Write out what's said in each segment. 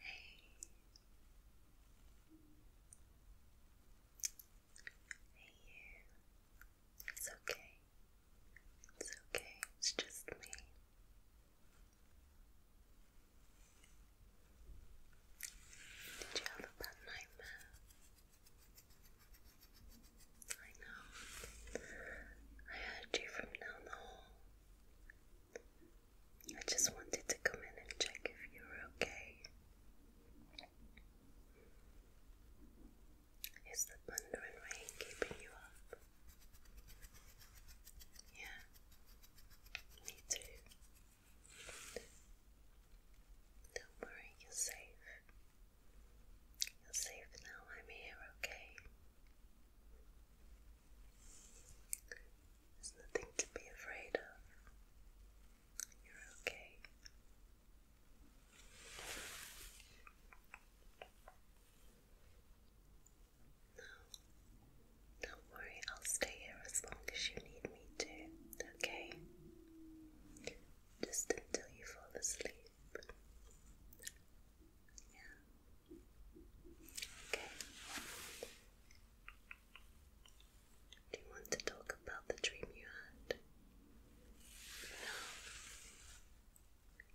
Hey. Hey you. It's okay. It's okay. It's just me. Did you have a bad nightmare? I know. I heard you from down the hall. I just wanted to come in and check if you were okay. Is the thunder and rain keeping you up? Yeah. Me too. Don't worry, you're safe. You're safe now, I'm here, okay? There's nothing to be afraid of. You're okay. Don't worry, I'll stay here as long as you need me to, okay? Just until you fall asleep. Yeah. Okay. Do you want to talk about the dream you had? No.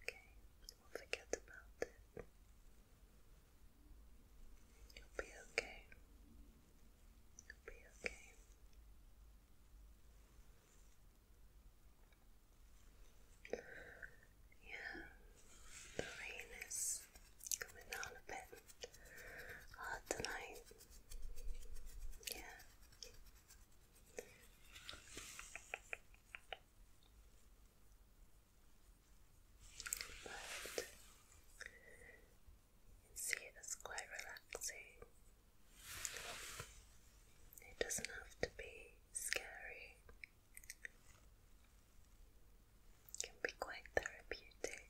Okay, we'll forget about it. You'll be okay. You'll be okay. Yeah, the rain is coming down a bit tonight. Yeah but you see it's quite relaxing. It doesn't have to be scary. can be quite therapeutic.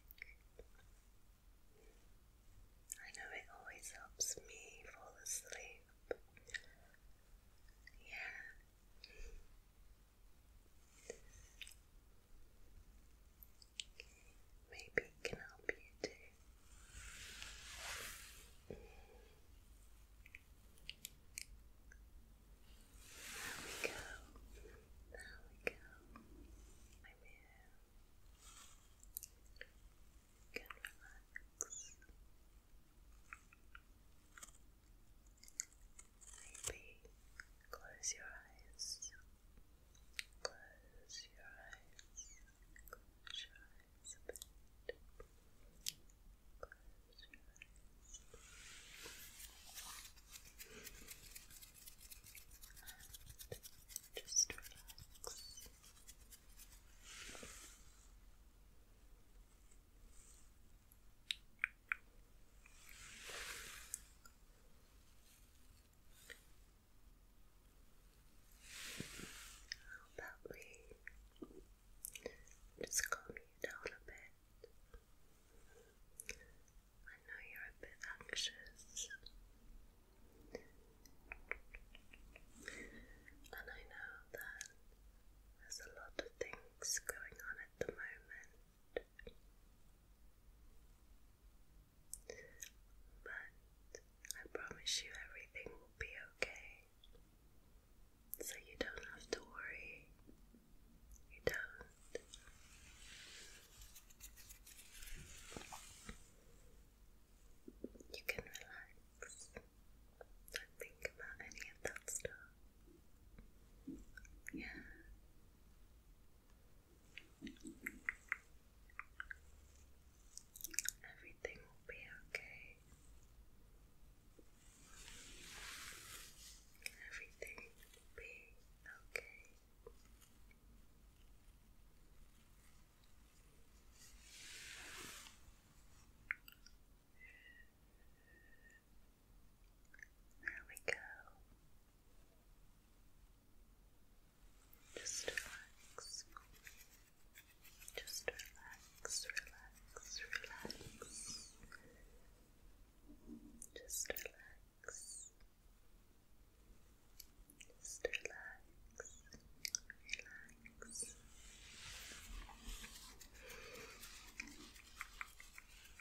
I know it always helps me fall asleep. Yeah. Maybe it can help you too. There we go. There we go. I'm here. Maybe close your eyes. Close your eyes. Close your eyes just Relax. How about we just calm you down a bit? I know you're a bit anxious, and I know that there's a lot of things going on at the moment. But I promise you everything will be okay. So you don't have to worry. You don't. You can relax. Don't think about any of that stuff. Yeah, Everything will be okay. Everything will be okay. There we go. Just relax. Just relax, relax, relax. Just relax. Just relax. Relax. Just relax.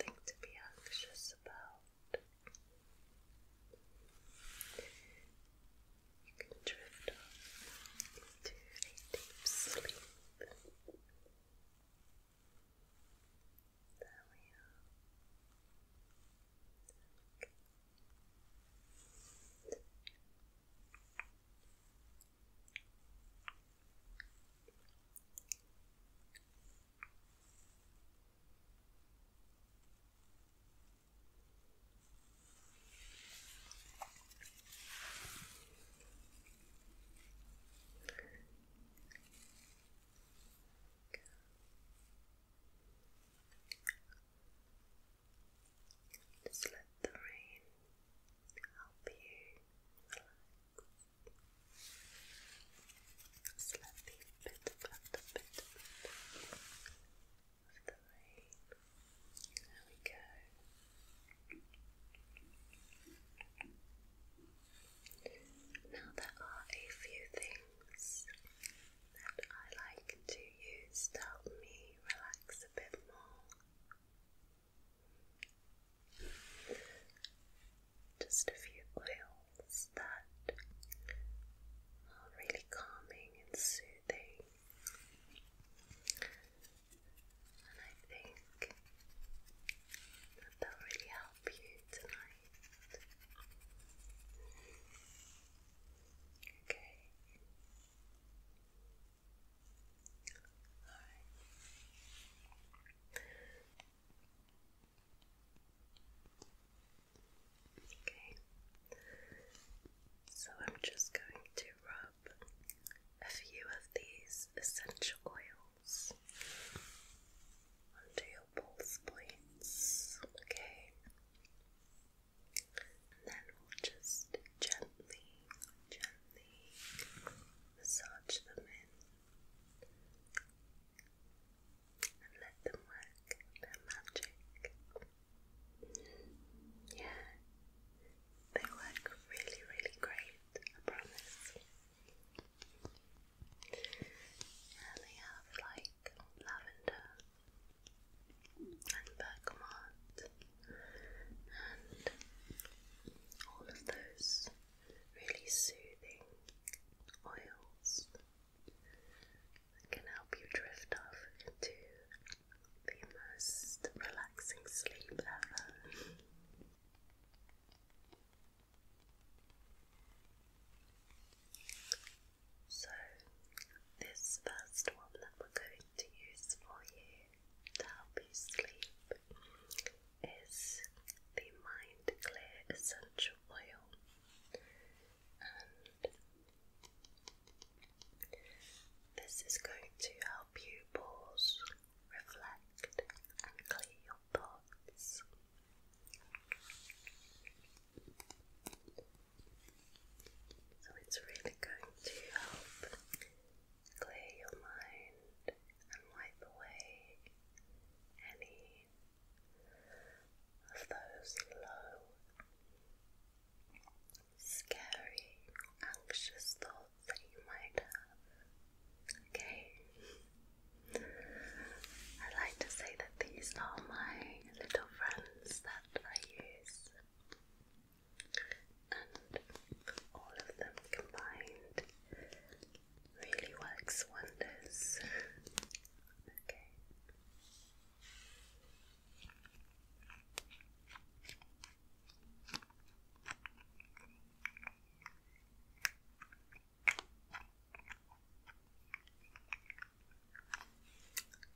Nothing to be anxious about out. You can drift off into deep sleep. There we are. Just let the rain help you there we go. Now there are a few things that I like to use to help me relax a bit more. Just a few oils thoughts that are really calming and soothing. And I think that they'll really help you tonight. Okay. Alright. Okay, so I'm just going to rub a few of these essential oils onto your pulse points. Okay, and then we'll just gently, gently massage them in and let them work their magic. Yeah, they work really, really great, I promise. Yeah, they have like lavender and bergamot and all of those really soothing oils that can help you drift off into the most relaxing sleep ever. So, this first one that we're going to use for you to help you sleep is the Mind Clear Essential Oil. This is going to help you pause, reflect, and clear your thoughts. So it's really going to help clear your mind and wipe away any of those low, scary, anxious thoughts that you might have. Okay? I like to say that these are my little friends that I use, and all of them combined really works wonders. Okay.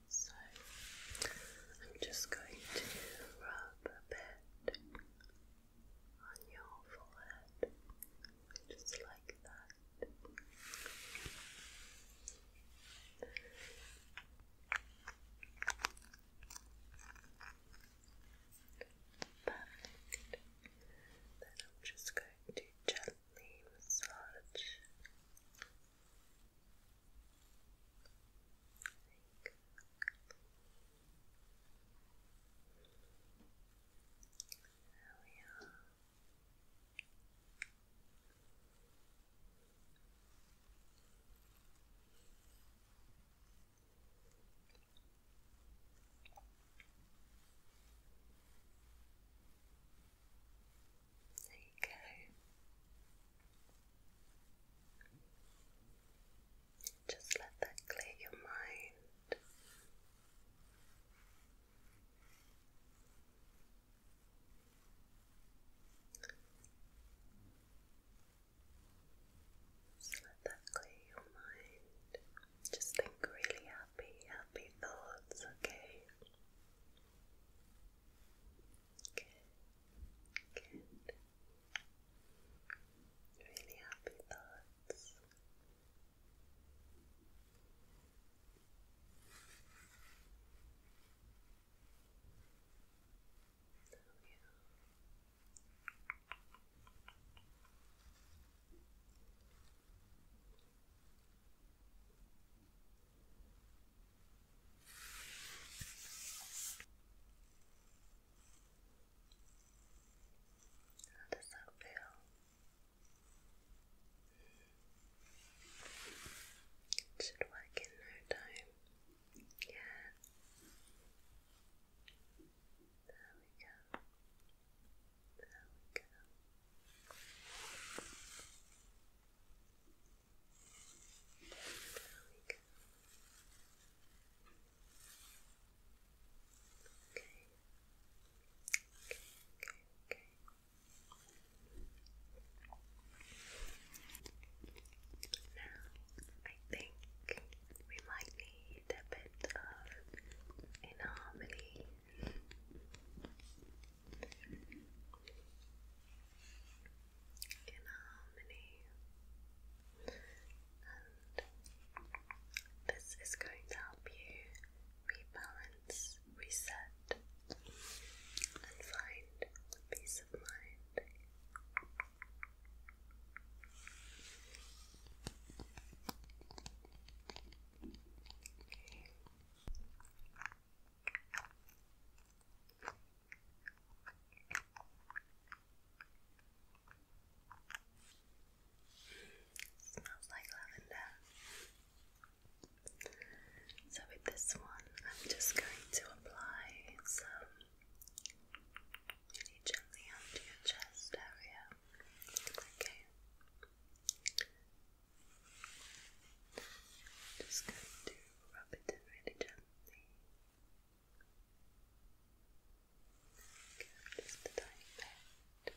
So I'm just going to rub a bit on your forehead, just like that. Perfect. Then I'm just going to gently massage. There we are. There you Just let that clear your mind. Just let that clear your mind. Just think really happy, happy thoughts, okay? Good, Really happy thoughts. So, yeah. How does that feel? It should work in no time. Yeah. There we go. There we go. There we go. Okay. Okay, okay, okay. Now, I think we might need a bit of inharmony. Inharmony. And this is going to help you rebalance, reset, and find peace of mind. Smells like lavender. So, with this one, I'm just going to apply some really gently onto your chest area. Okay. Just going to rub it in really gently. Okay, just a tiny bit.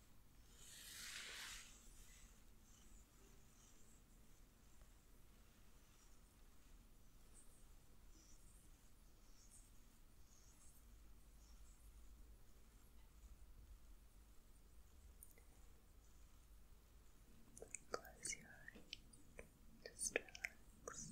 Close your eyes, just relax.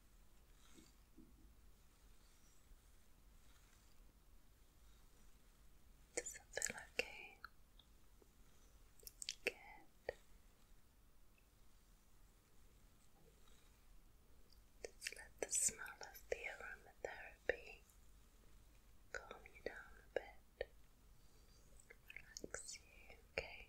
Does that feel okay? Good. Just let the smell of the aromatherapy calm you down a bit, relax you, okay?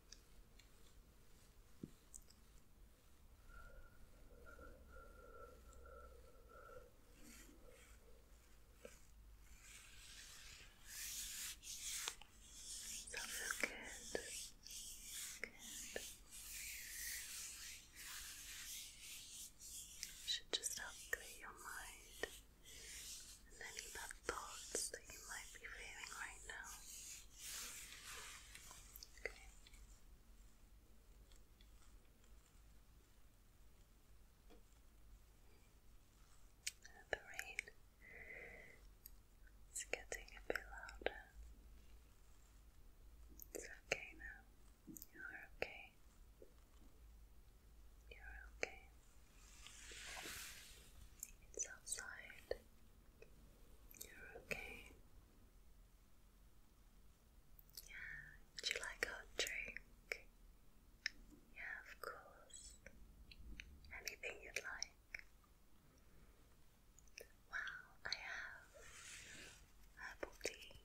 So Good. Should just help clear your mind and any bad thoughts that you might be feeling right now. Okay. The rain is getting a bit louder. It's okay now. You're okay. You're okay. It's outside. You're okay. Yeah, do you like hot drink? Yeah, of course. Anything you'd like. Wow, I have herbal tea.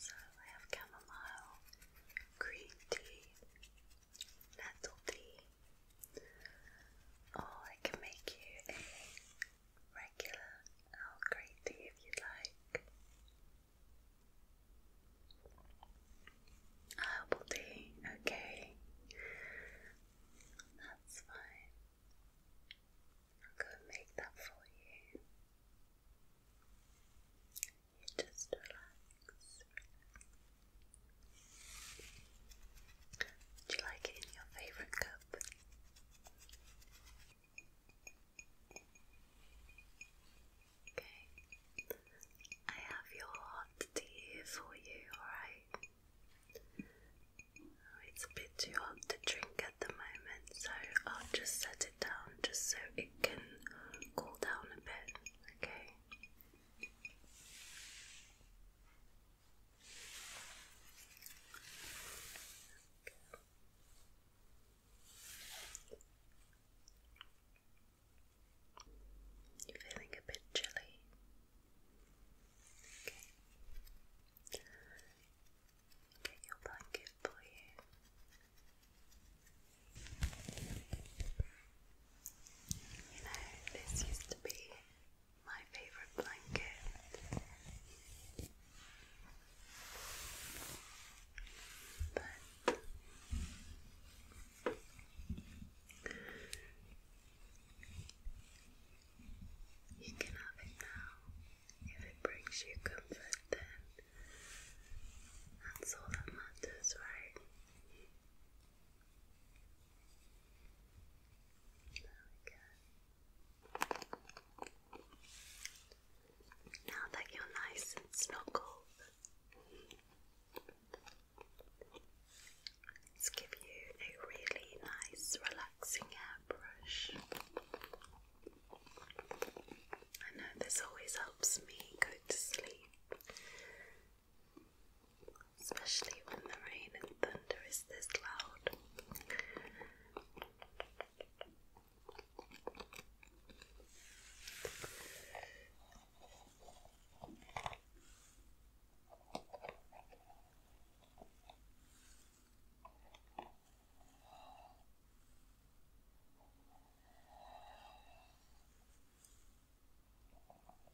So I have chamomile, green tea, nettle tea, or oh, I can make you a regular Earl Grey tea if you like. Herbal tea, okay. That's fine. I'll go and make that for you. You just relax. Would you like it in your favourite cup? Okay. I have your hot tea for you, alright? Oh, it's a bit too hot to drink at the moment, so I'll just set it down just so it can cool down a bit, okay? You feeling a bit chilly? Get your blanket for you. You know, this used to be my favorite blanket. But you can have it now. If it brings you comfort, then that's all that matters, right? There Now that you're nice and snuggled, let's give you a really nice, relaxing hairbrush. I know this always helps me go to sleep especially when the rain and thunder is this loud.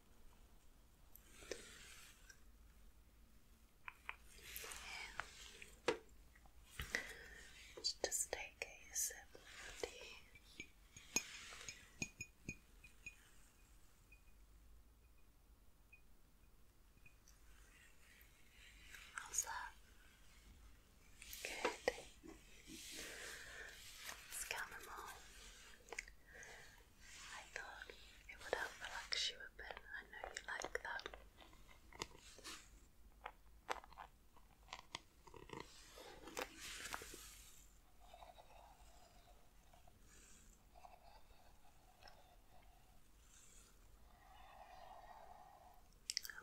And let just take a sip of How's that? Good. It's chamomile. I thought it would help relax you a bit. I know you like that. I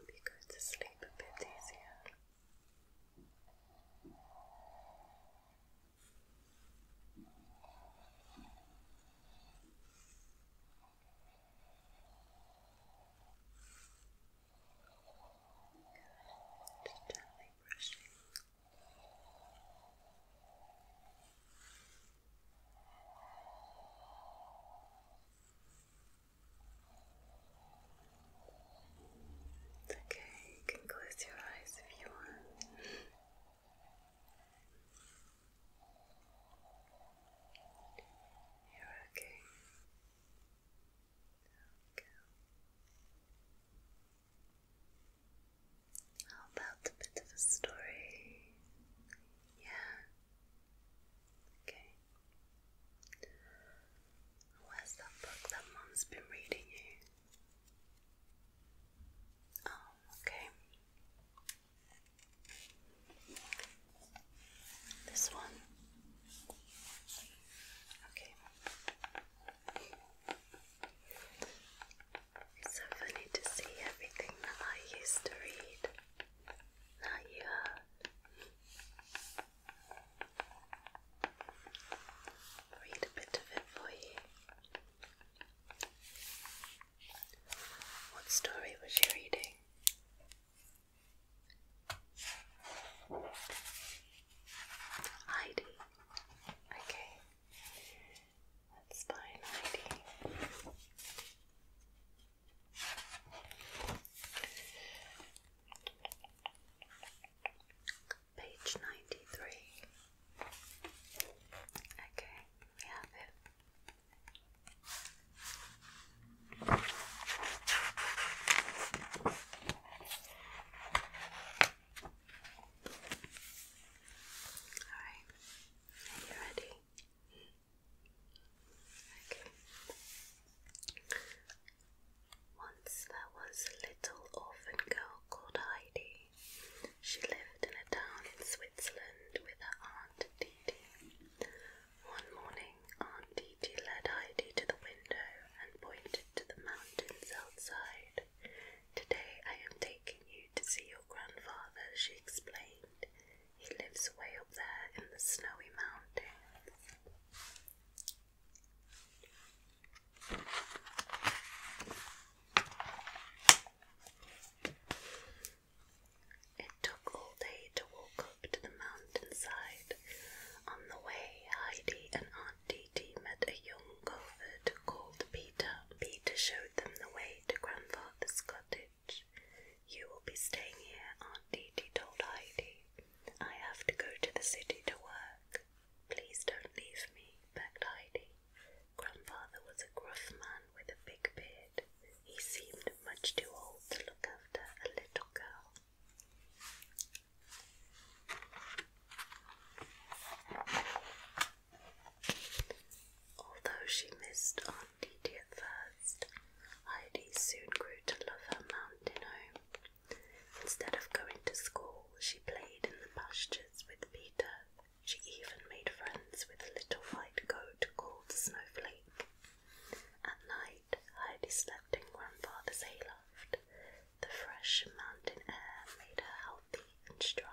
you go to sleep a bit easier. Just gently brushing. okay, you can close your eyes if you want. You're okay. Okay. How about a bit of a story? Yeah. Okay. Where's that book that Mom's been reading you? Oh, okay. This one. Okay. It's so funny to see everything that I used to read. Now you Read a bit of it for you. What story was you reading? Heidi. Okay. Let's Heidi page 93. Okay, we have it. Alright, are you ready? Okay. Once there was a little orphan girl called Heidi. She lived in a town in Switzerland with her Aunt Didi. One morning, Aunt Didi led Heidi to the window and pointed to the mountains outside. Today I am taking you to see your grandfather, she explained. He lives way up there in the snowy mountains. It took all day to walk up to the mountainside. On the way, Heidi and Aunt Didi met a young covert called Peter. Peter showed them the way to Grandfather's cottage. You will be staying here, Aunt Didi told Heidi. I have to go to the city to work. Please don't leave me, begged Heidi. Grandfather was a gruff man with a big beard. He seemed much too old to look after a little girl. Although she missed Aunt at first, Heidi soon grew to love her mountain home. Instead of going to school, she played in the pastures with Peter she even made friends with a little white goat called Snowflake. At night, Heidi slept in Grandfather's hayloft. The fresh mountain air made her healthy and strong.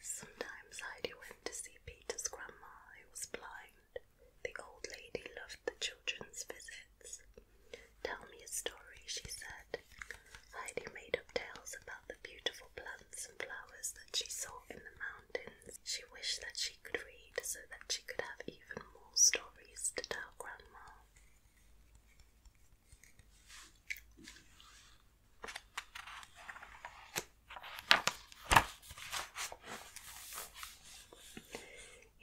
Sometimes Heidi went to see Peter's grandma, who was blind. The old lady loved the children's visits. Tell me a story, she said. Heidi made up tales about the beautiful plants and flowers that she saw in the mountains. She wished that she could read so that she could have even more stories to tell Grandma.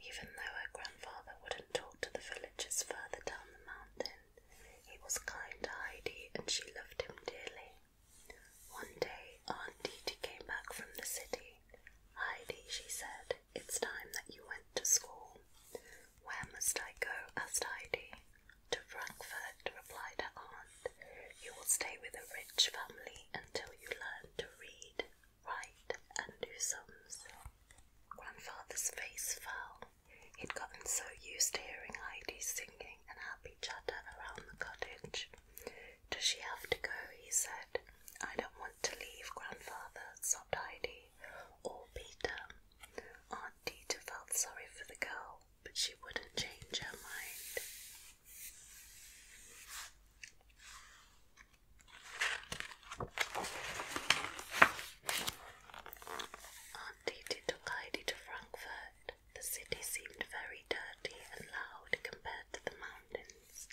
Even though her grandfather wouldn't talk to the villagers further down the mountain, he was kind to Heidi and she loved him dearly. One day, Aunt Didi came back from the city. Heidi, she said, it's time that you went to school. Where must I go? asked Heidi. To Frankfurt, replied her aunt. You will stay with a rich family until you learn to read, write, and do sums. Grandfather's face fell. He'd gotten so used to hearing Heidi singing and happy chatter around the cottage. Does she have to go? he said. I don't want to leave, grandfather, sobbed Heidi, or Peter. Aunt Dita felt sorry for the girl but she wouldn't change her mind. Auntie took Heidi to Frankfurt. The city seemed very dirty and loud compared to the mountains.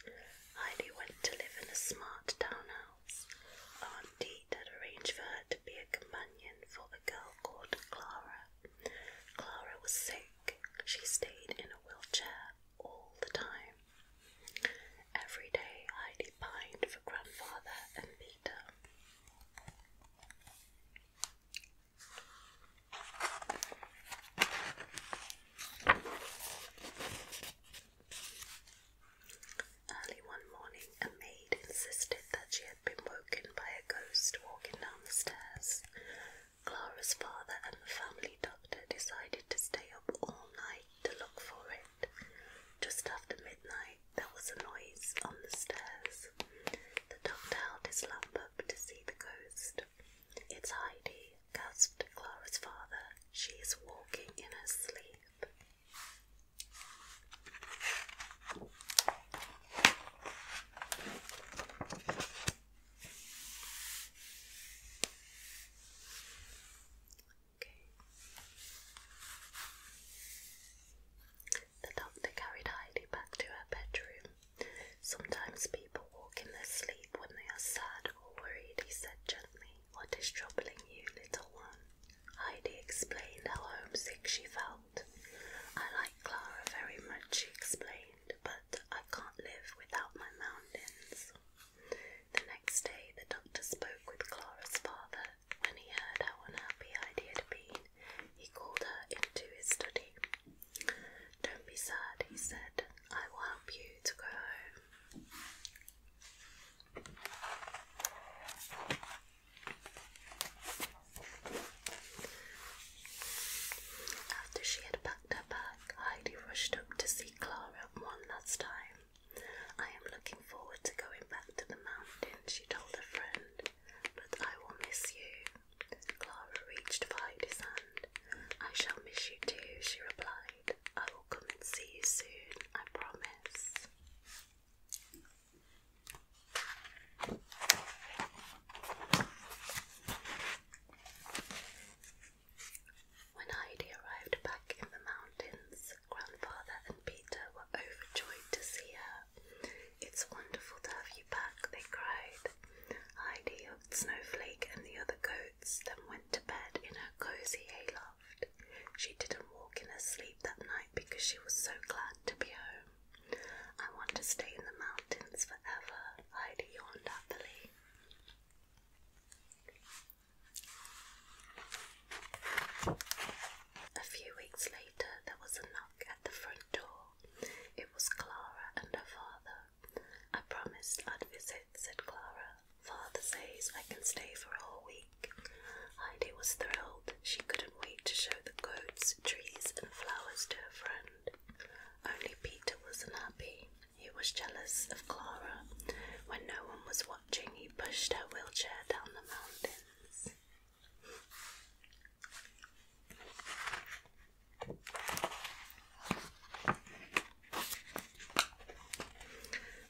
Heidi went to live in a smart townhouse. Aunt had arranged for her to be a companion for a girl called Clara. Clara was sick. She stayed in a wheelchair all the time. Every day, Heidi pined for grandfather and Peter. Early one morning, a maid insisted that she had been woken by a ghost walking down the stairs. Clara's father and the family doctor decided to stay up all night to look for it. Just after midnight, there was a noise on the stairs. The doctor held his lamp up to see the ghost. It's Heidi, gasped Clara's father. She is walking in her sleep. The doctor carried Heidi back to her bedroom. Sometimes people walk in their sleep when they are sad or worried, he said gently. What is troubling you, little one? Heidi explained how homesick she felt I like Clara very much, she explained, but I can't live without my mountains. The next day, the doctor spoke with Clara's father. When he heard how unhappy Heidi had been, he called her into his study. Don't be sad, he said. I will help you to go home. After she had packed her bag, Heidi rushed up to see Clara one last time. I am looking forward to going back to the mountain, she told her friend, but I will miss you. Clara reached for Heidi's hand. I shall miss you too, she replied. I will come and see you soon, I promise. When Heidi arrived back in the mountains, Grandfather and Peter were overjoyed to see her. It's wonderful to have you back, they cried. Heidi hugged Snowflake and the other goats, then went to bed in her cozy hay loft. She didn't walk in her sleep that night because she was so glad to be home. I want to stay in the mountains forever, Ida yawned happily. A few weeks later, there was a knock at the front door. It was Clara and her father. I promised I'd visit, said Clara. Father says I can stay for a whole week. Heidi was thrilled. She couldn't wait to show the goats trees, and flowers to her friend. Only Peter was not happy. He was jealous of Clara. When no one was watching, he pushed her wheelchair down the mountains.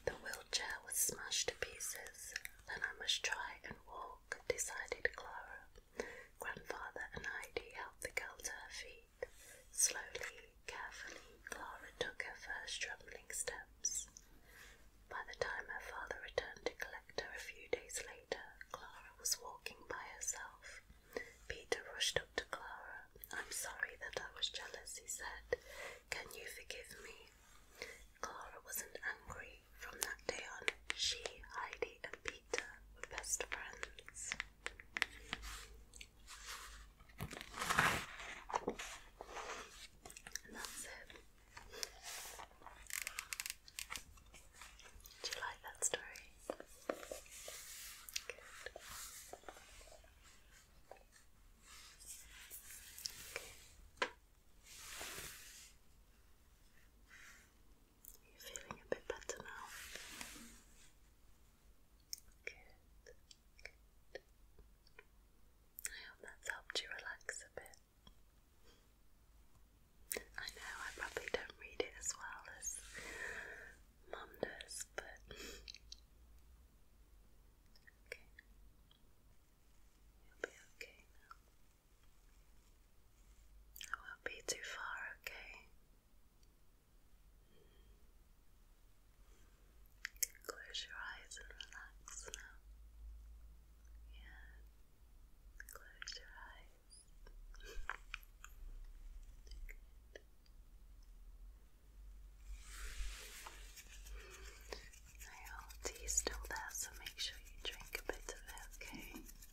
The wheelchair was smashed to pieces. Then I must try and walk, decided Clara. Grandfather and Heidi helped the girl to her feet. Slowly, carefully, Clara took her first trembling steps. By the time her father returned to collect her a few days later, Clara was walking by herself. Peter rushed up to Clara. I'm sorry that I was jealous, he said. Can you forgive me? Clara wasn't angry, from that day on, she, Heidi, and Peter were best friends. And that's it. Do you like that story? you Are feeling a bit better now? Good. I hope that's helped you relax a bit. I know I probably don't read it as well as Mum does, but You'll be okay now. I won't be too far, okay? Close your eyes and relax now. Yeah, close your eyes. Good. I hope still there, so make sure you drink a bit of it, okay?